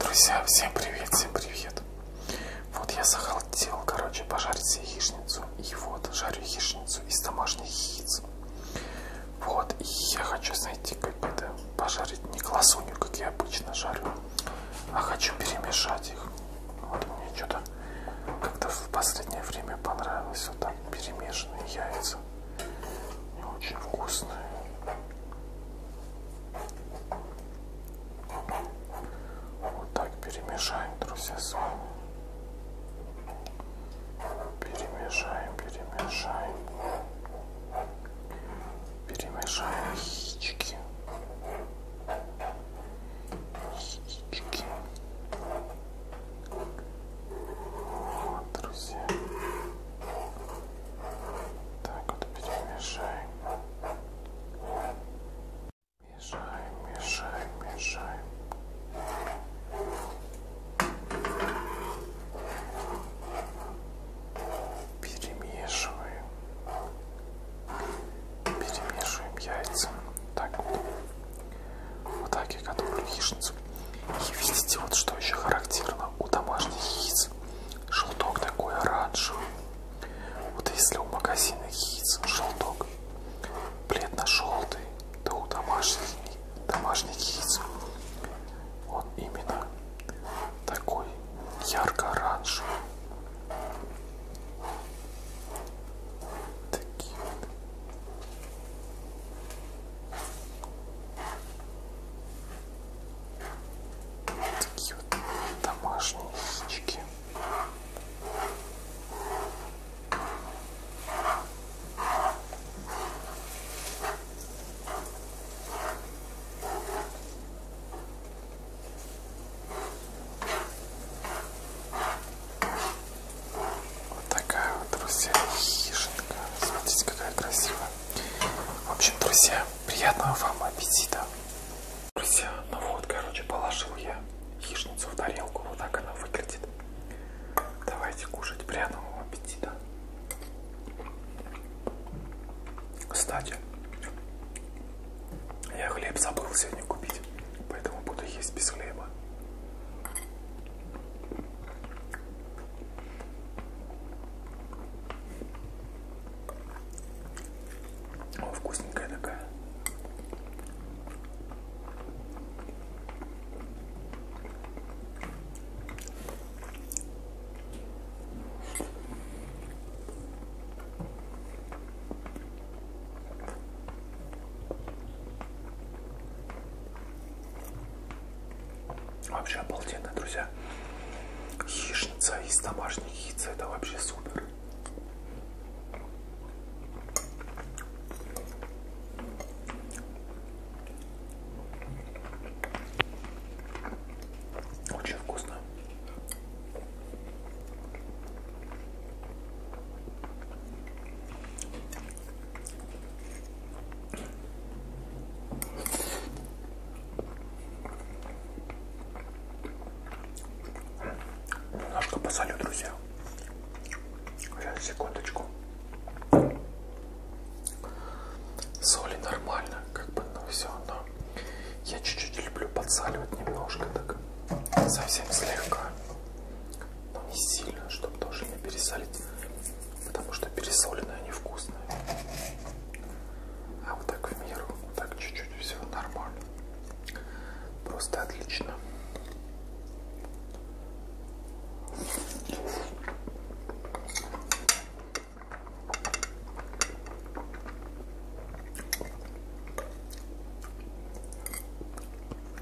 Друзья, всем привет, всем привет. Вот я захотел, короче, пожарить себе яичницу. И вот жарю яичницу из домашних яиц. Вот, и я хочу, знаете, как это, пожарить не классунью, как я обычно жарю, а хочу перемешать их. Вот мне что-то как-то в последнее время понравилось вот так перемешанные яйца. Очень вкусная. Вот так перемешаем, друзья, с вами. Перемешаем, перемешаем. Перемешаем яички. Яички. Вот, друзья. Так вот перемешаем. Мешаем, мешаем, мешаем. Перемешиваем. Перемешиваем яйца. Так вот. Вот так я готовлю яичницу и видите, вот что еще характерно у домашних яиц. Желток такой оранжевый. Вот если у магазинных яиц желток бледно-желтый, то у домашних, домашних яиц он именно такой ярко-оранжевый. Такие вот. Такие вот домашние яички. Вот такая вот, друзья, хижинка. Смотрите, какая красивая. В общем, друзья, приятного вам аппетита. Друзья, ну вот, короче, положил я хищницу в тарелку. Вот так она выглядит. Давайте кушать. Приятного аппетита. Кстати, я хлеб забыл сегодня купить, поэтому буду есть без хлеба. О, вкусненькая такая. Вообще обалденно, друзья. Яичница из домашних яиц, это вообще супер. Очень вкусно. Немножко ну посолю, друзья. Сейчас, секундочку. Соли нормально, как бы, но ну, все, но я чуть-чуть люблю подсаливать немножко, так совсем слегка не сильно, чтобы тоже не пересолить, потому что пересоленные они вкусные. А вот так в меру, вот так чуть-чуть все нормально. Просто отлично.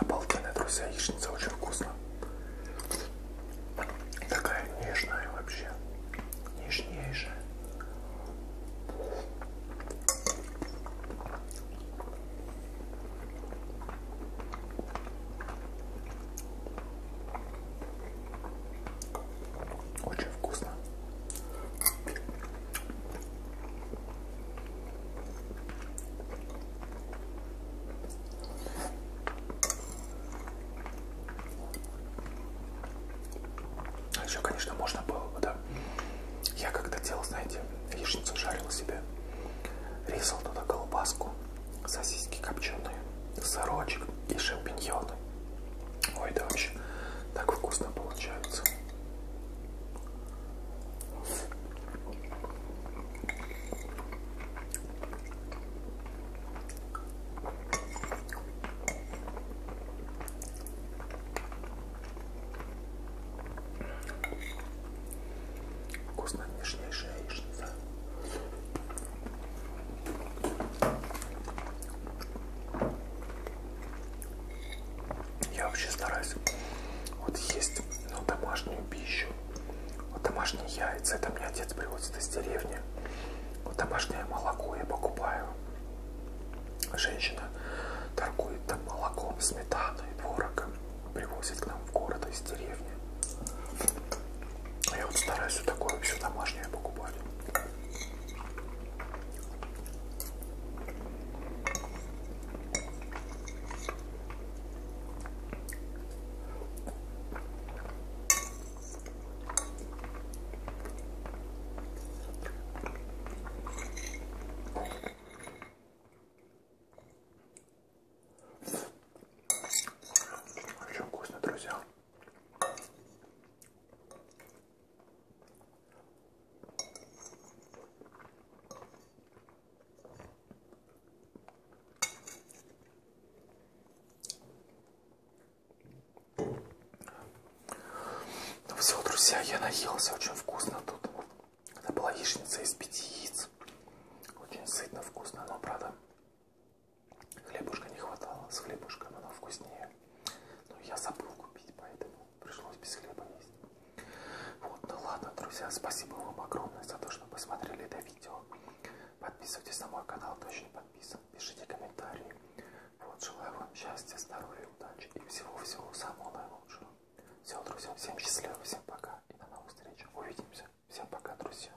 Обалденная, друзья, яичница очень вкусная. Такая нежная вообще. Нежнейшая. Очень вкусно. А еще, конечно, можно было бы, да. Я когда делал, знаете, яичницу жарил себе, резал туда колбаску, сосиски копченые, сырочек и шампиньоны. Ой, да вообще так вкусно получается. Вкусно нежнейшая яичница. Я вообще стараюсь вот есть ну, домашнюю пищу. Вот домашние яйца, это мне отец привозит из деревни. Вот домашнее молоко я покупаю. Женщина торгует там молоком, сметаной, творогом. Привозит к нам в город из деревни. Я вот стараюсь вот такое все домашнее покупать. Очень вкусно, друзья. Ну Все, друзья, я наелся очень вкусно тут. Это была яичница из пяти яиц. Очень сытно, вкусно, но правда Хлебушка не хватало, с хлебушком оно вкуснее. Но ну, я забыл купить, поэтому пришлось без хлеба есть. Вот, ну ладно, друзья, спасибо вам огромное за то, что посмотрели это видео. Подписывайтесь на мой канал, кто еще не подписан. Пишите комментарии. Вот, желаю вам счастья, здоровья, удачи и всего-всего самого наилучшего. Все, друзья, всем счастливо, всем пока и до новых встреч. Увидимся. Всем пока, друзья.